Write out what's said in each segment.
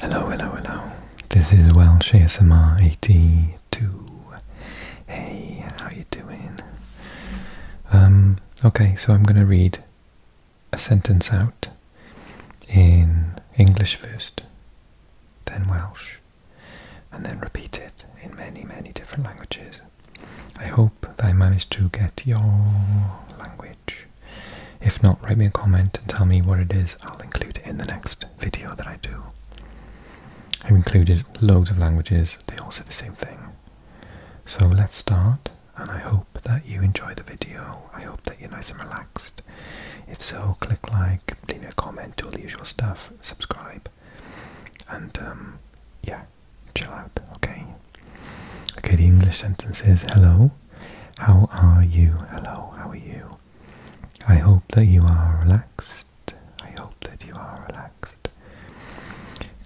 Hello, hello, hello. This is Welsh ASMR 82. Hey, how you doing? Um, okay, so I'm going to read a sentence out in English first, then Welsh, and then repeat it in many, many different languages. I hope that I managed to get your language if not, write me a comment and tell me what it is. I'll include it in the next video that I do. I've included loads of languages, they all say the same thing. So let's start, and I hope that you enjoy the video. I hope that you're nice and relaxed. If so, click like, leave me a comment, do all the usual stuff, subscribe, and um, yeah, chill out, okay? Okay, the English sentence is hello, how are you? Hello, how are you? I hope that you are relaxed. I hope that you are relaxed.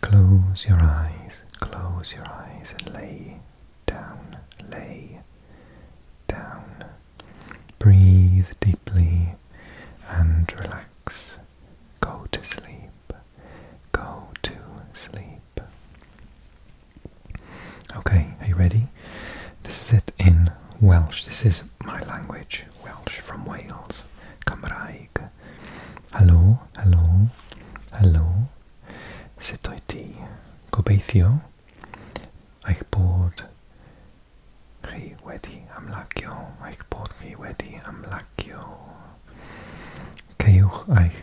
Close your eyes, close your eyes and lay down, lay down. Breathe deeply and relax. Go to sleep, go to sleep. Okay, are you ready? This is it in Welsh. This is my language, Welsh from Wales. Cymraeg. Helo, helo, helo. Sut oed ti? Gobeithio eich bod chi wedi amlacio. Eich bod chi wedi amlacio. Ceiwch eich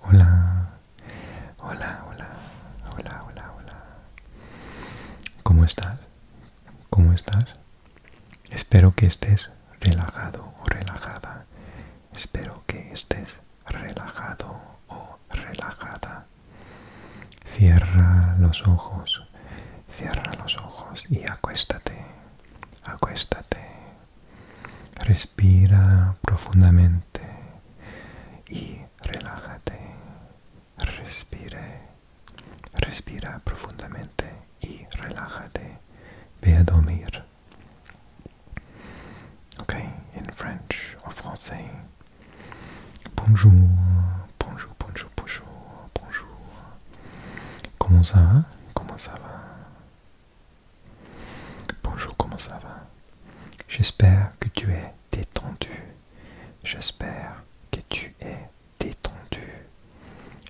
Hola, hola, hola, hola, hola, hola. ¿Cómo estás? ¿Cómo estás? Espero que estés relajado o relajada. Espero que estés relajado o relajada. Cierra los ojos, cierra los ojos y acuéstate, acuéstate, Respira profundamente y relájate. Respire. Respira profundamente y relájate. Ve a dormir. Ok, in French or francés. Bonjour, bonjour, bonjour, bonjour, bonjour. ¿Cómo ça va? ¿Cómo ça va? Bonjour, comment ça va J'espère que tu es détendu. J'espère que tu es détendu.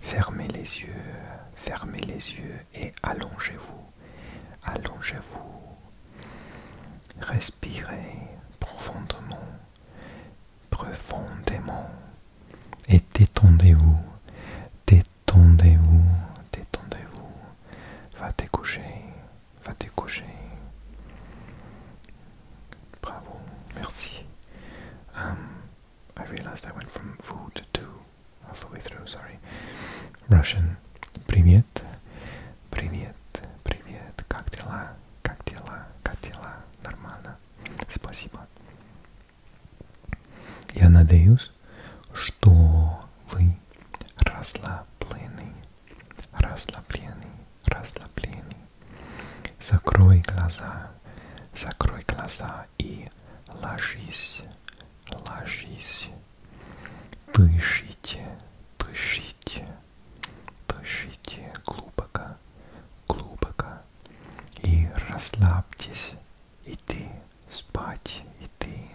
Fermez les yeux, fermez les yeux et allongez-vous. Allongez-vous. Respirez profondément, profondément. Et détendez-vous, détendez-vous tendez vous détendez-vous, va te coucher, va te coucher. Bravo, merci. Um, I realized I went from food to halfway through, sorry. Russian. Привет, привет, привет, как дела, как дела, как дела, нормально, спасибо. Я надеюсь, что вы расслаблены, расслаблены, расслаблены. Закрой глаза, закрой глаза и ложись, ложись. Дышите, дышите, дышите глубоко, глубоко и расслабьтесь, идти спать, идти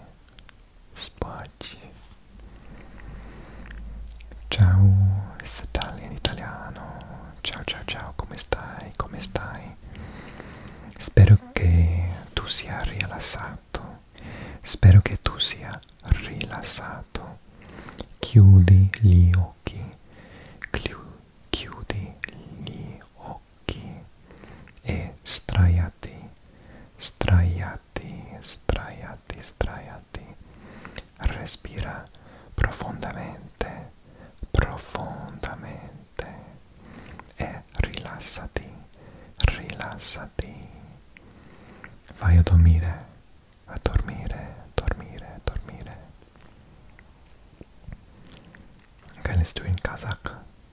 спать. Ciao, Statale in italiano. Ciao, ciao, ciao, come stai? Come stai? Spero che tu sia rilassato. Spero che tu sia rilassato. Chiudi gli occhi. Chiudi gli occhi occhi e straiati, straiati, straiati, straiati. Respira profondamente, profondamente e rilassati, rilassati. Vai a dormire, a dormire, a dormire, a dormire. Che le stu in casacca?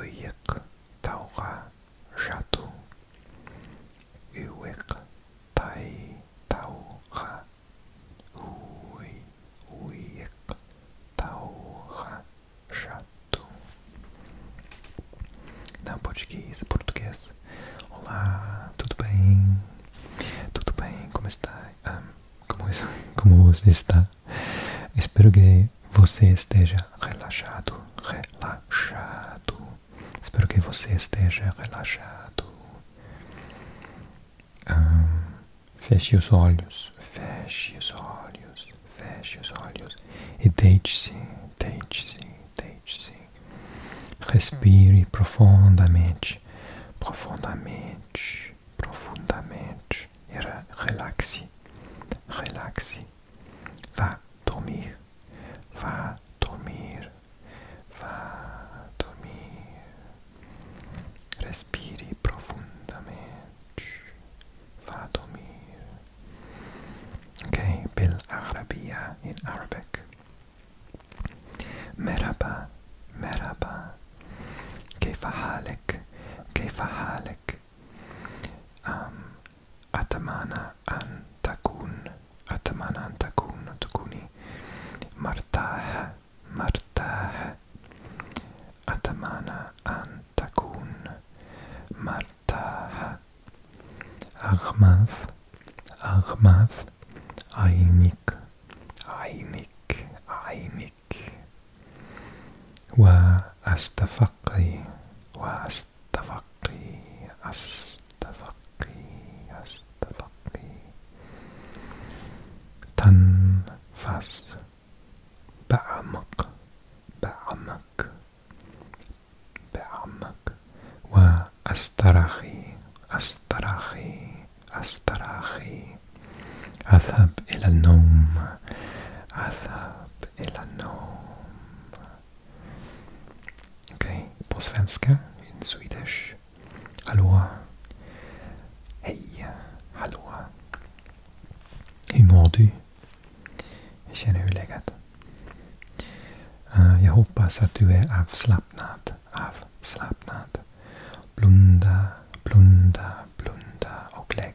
Ыйыҡ тауға жатыу, Үек тай тауға, Уй, уйыҡ тауға жатыу. Na português, português. Olá, tudo bem? Tudo bem, como está? Ah, como, como você está? Espero que você esteja relaxado, relaxado. Espero que você esteja relaxado. Ah, feche os olhos, feche os olhos, feche os olhos e deixe se deixe se deixe se Respire profundamente, profundamente, profundamente. relaxie, relaxi. Va dormir, va dormir, va dormir. Respiri profundamente, va dormir. Okay, bil Arabia in Arabic. Merhaba, merhaba. كيف حالك كيف حالك أم أتمنى أن تكون أتمنى أن تكون تكوني مرتاح مرتاح أتمنى أن تكون مرتاح أغمض أغمض عينيك عينيك عينيك عليك وأستفقي وأستفقي أستفقي أستفقي تنفس بعمق بعمق بعمق وأسترخي أسترخي أسترخي أذهب إلى النوم أذهب إلى النوم Okej, okay. på svenska, in Swedish. Hallå. Hej. Hallå. Hur mår du? Jag känner hur läget? Uh, jag hoppas att du är avslappnad. Avslappnad. Blunda, blunda, blunda och lägg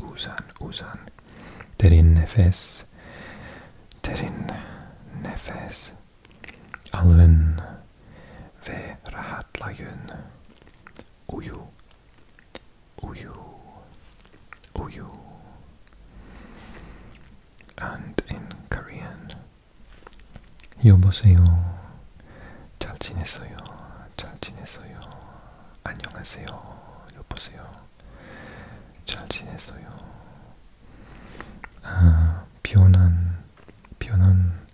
Usan, Usan. Terin Nefes. Terin Nefes. Alven ve rahatlayın. Uyu. Uyu. Uyu. And in Korean. Yoboseyo. 잘 지냈어요. 잘 지냈어요. 안녕하세요. 여보세요. 잘 지냈어요. 아, 변한 변한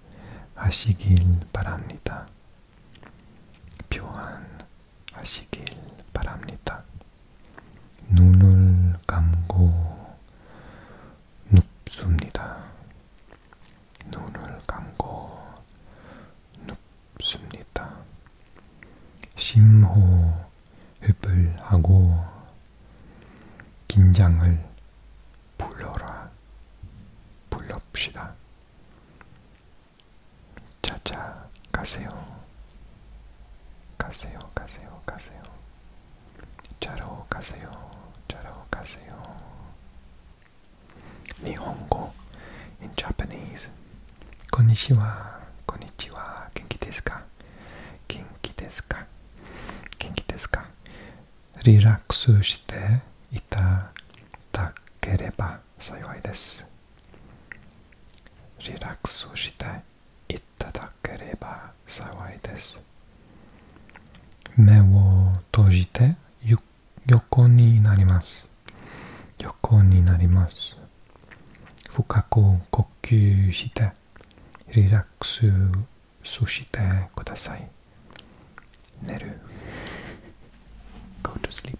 하시길 바랍니다. 표현하시길 바랍니다. 눈을 감고 눕습니다. 눈을 감고 눕습니다. 심호흡을 하고 긴장을 불러라, 불럽시다. 자자, 가세요. 가세요, 가세요, 가세요. 자러 가세요, 자러 가세요. 日本語 in Japanese こんにちはこんにちは元気ですか元気ですか元気ですかリラックスしていただければ幸いですリラックスしていただければ幸いです目を閉じてゆっ横になります横になります深く呼吸してリラックスしてください寝る go sleep、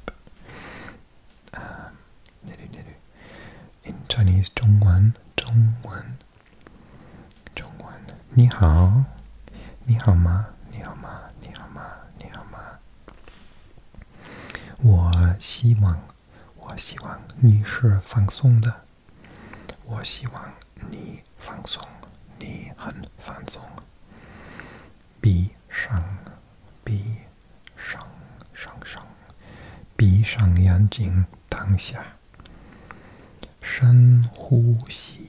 寝る寝る in Chinese 中文中文中文你好，你好吗？你好吗？你好吗？你好吗？我希望，我希望你是放松的。我希望你放松，你很放松。闭上，闭上，上上，闭上眼睛，躺下，深呼吸。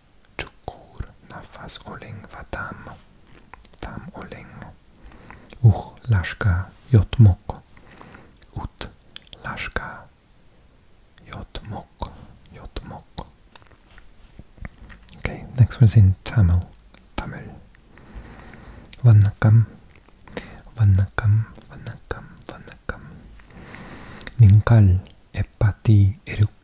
Chukur nafas oleng vatam. Tam oleng. Uch laska jotmok. Ut laska jotmok. Jotmok. Okay, next one's in Tamil. Tamil. Vannakam. Vannakam. Vannakam. Vannakam. Ninkal epati eruk.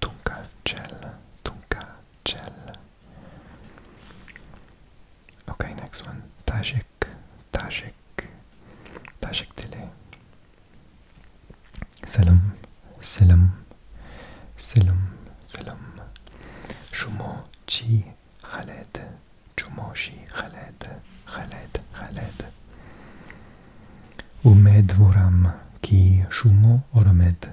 Tonka gel, Tonka gel. Okay, next one. Tajik, Tajik, Tajik dili. Selam, selam, selam, selam. Shumo chi Khaled, Shumo chi Khaled, Khaled, Khaled. Umed voram ki shumo oromed.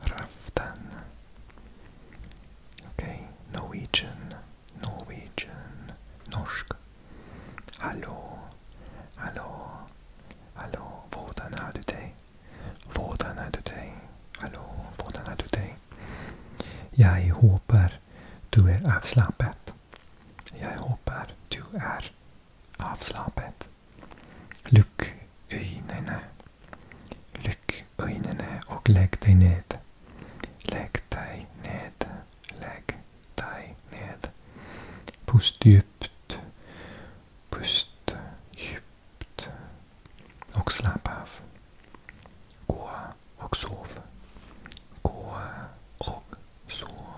Raften. Okej. Okay. Norwegian. Norsk. Hallå. Hallå. Hallå. Hvordan har du dig? Hvordan har du dig? Hallå. Hvordan har du dig? Jag hoppas du är avslappnad. Jag hoppas du är avslappnad. Lukk Lyck ögonen och lägg dig ned. Lägg dig ned. Lägg dig ned. Pust djupt. Pust djupt. Och slapp av. Gå och sov. Gå och sov.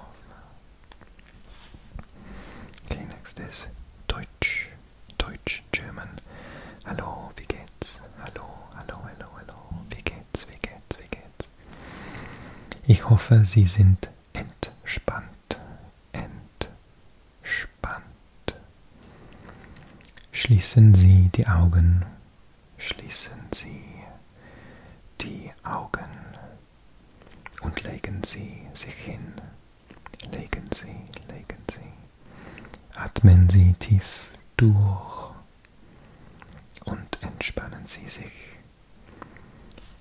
Okay, next is Deutsch. Deutsch, German. Hallo, wie geht's? Hallo, hallo, hallo, hallo. Wie geht's, wie geht's, wie geht's? Ich hoffe, Sie sind entspannt. Entspannt. Schließen Sie die Augen. Schließen Sie die Augen und legen Sie sich hin. Legen Sie, legen Sie. Atmen Sie tief durch und entspannen Sie sich.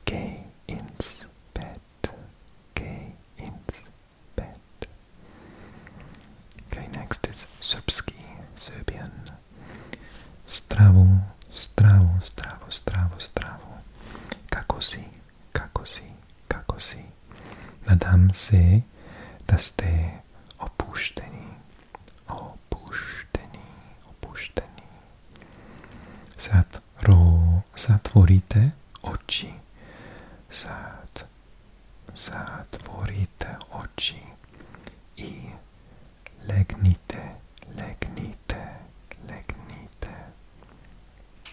Geh ins Bett. Geh ins Bett. Okay, next is Srpski, Serbian. Stravo, stravo, stravo, stravo, stravo. Kako si? kako si, kako si. Nadam se, da ste opušteni, opušteni, opušteni. Sad ro, zatvorite oči, sad, zatvorite oči i legnite, legnite, legnite.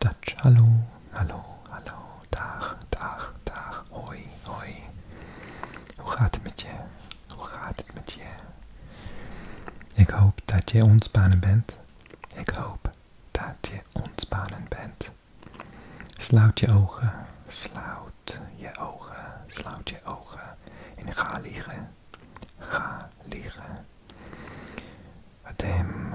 Dutch, hallo, hallo, hallo, dag, dag, dag, hoi, hoi. Hoe gaat het met je? Hoe gaat het met je? Ik hoop dat je ontspannen bent. Ik hoop dat je ontspannen bent. Sluit je ogen, sluit je ogen, sluit je ogen en ga liggen. Ga liggen. Adem,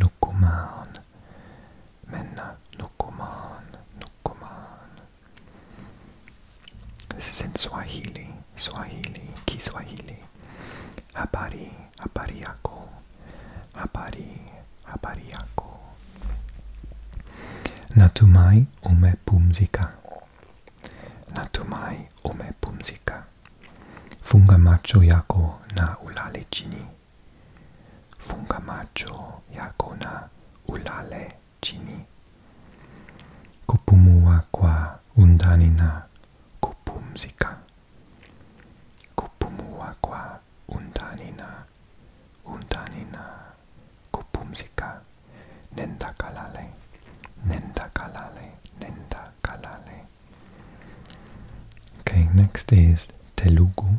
nu kom aan. Mennä, nukumaan, nukumaan. This is in Swahili, Swahili, Kiswahili. Habari, habari yako, Natumai umepumzika. Natumai umepumzika. Funga yako na ulale chini. Fungamacho yakona ulale chini. Kupumua kwa undani na kupumzika. Kupumua kwa undani na undani na kupumzika. Nenda kalale. Nenda kalale. Nenda kalale. Okay, next is Telugu.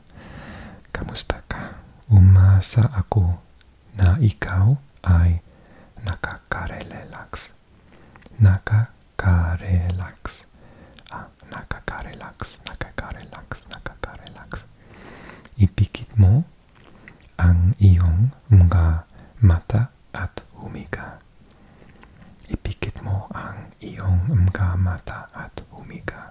Kamusta ka? Umasa ako na ikaw ay nakakarelax. Nakakarelax. Ah, nakakarelax, nakakarelax, nakakarelax. Ipikit mo ang iyong mga mata at humiga. Ipikit mo ang iyong mga mata at humiga.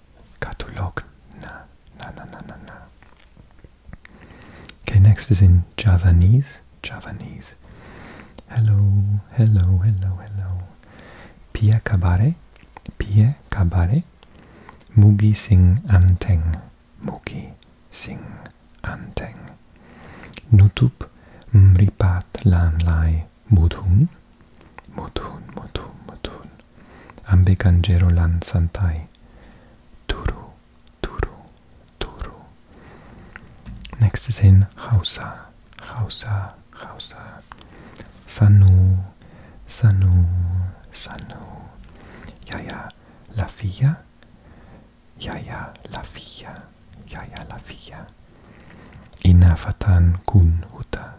Katulog na na na na na na. Okay, next is in Javanese. Javanese. Hello, hello, hello, hello. Pia kabare, pia kabare. Mugi sing anteng, mugi sing anteng. Nutup mripat lan lai mudhun, mudhun, mudhun, mudhun. Ambekanjerolan Santai. Turu, Turu, Turu. Next is in Hausa, Hausa, Hausa. Sanu, Sanu, Sanu. Yaya Lafia, Yaya Lafia, Yaya Lafia. Inafatan kun huta.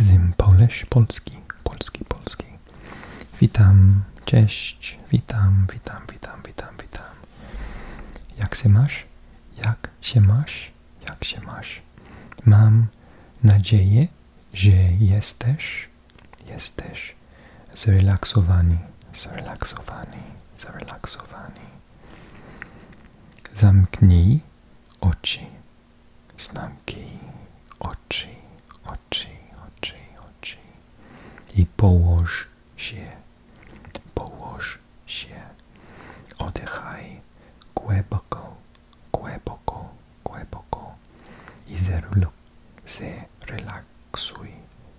Zim Poleś, Polski, Polski, Polski. Witam, cześć, witam, witam, witam, witam, witam. Jak się masz? Jak się masz? Jak się masz? Mam nadzieję, że jesteś, jesteś zrelaksowani, zrelaksowani, zrelaksowani. Zamknij oczy znaki oczy, oczy, oczy, oczy i położ się, położ się, oddychaj głęboko, głęboko, głęboko i zrelaksuj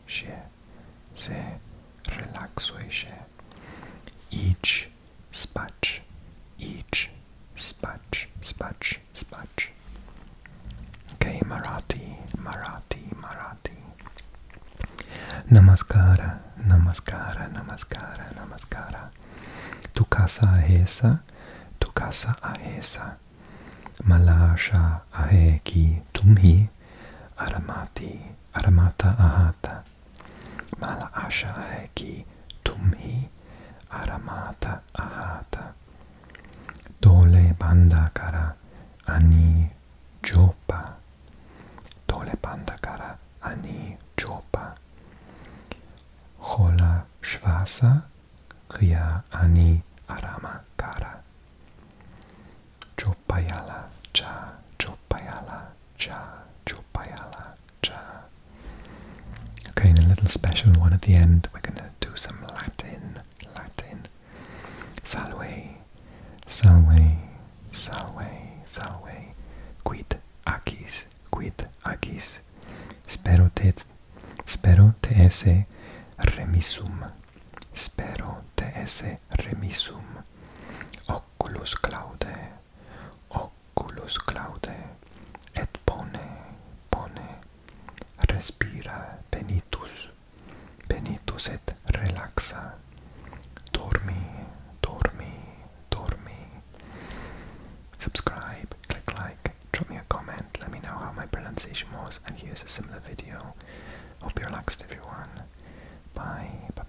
się, zrelaksuj się, idź spać, each, spać, spać, spać. Okay, Marathi, Marathi, Marathi. Namaskara, namaskara, namaskara, namaskara. Tukasa casa tukasa tu Malasha aheki tumhi, aramati, aramata ahata. mala asha heki tumhi aramata ahata dole bandakara ani jopa dole bandakara ani jopa hola shvasa kriya ani arama kara jopayala cha jopayala cha jopayala cha Okay, and a little special one at the end. We're gonna do some Latin, Latin. Salve, salve, salve, salve. Quid acis, quid acis. Spero te, spero te esse remissum. Spero te esse remissum. Oculus claude, oculus claude, et bone, bone, respira, benitus, benitus et relaxa, dormi, dormi, dormi. Subscribe, click like, drop me a comment, let me know how my pronunciation was, and here's a similar video. Hope you relaxed everyone. bye.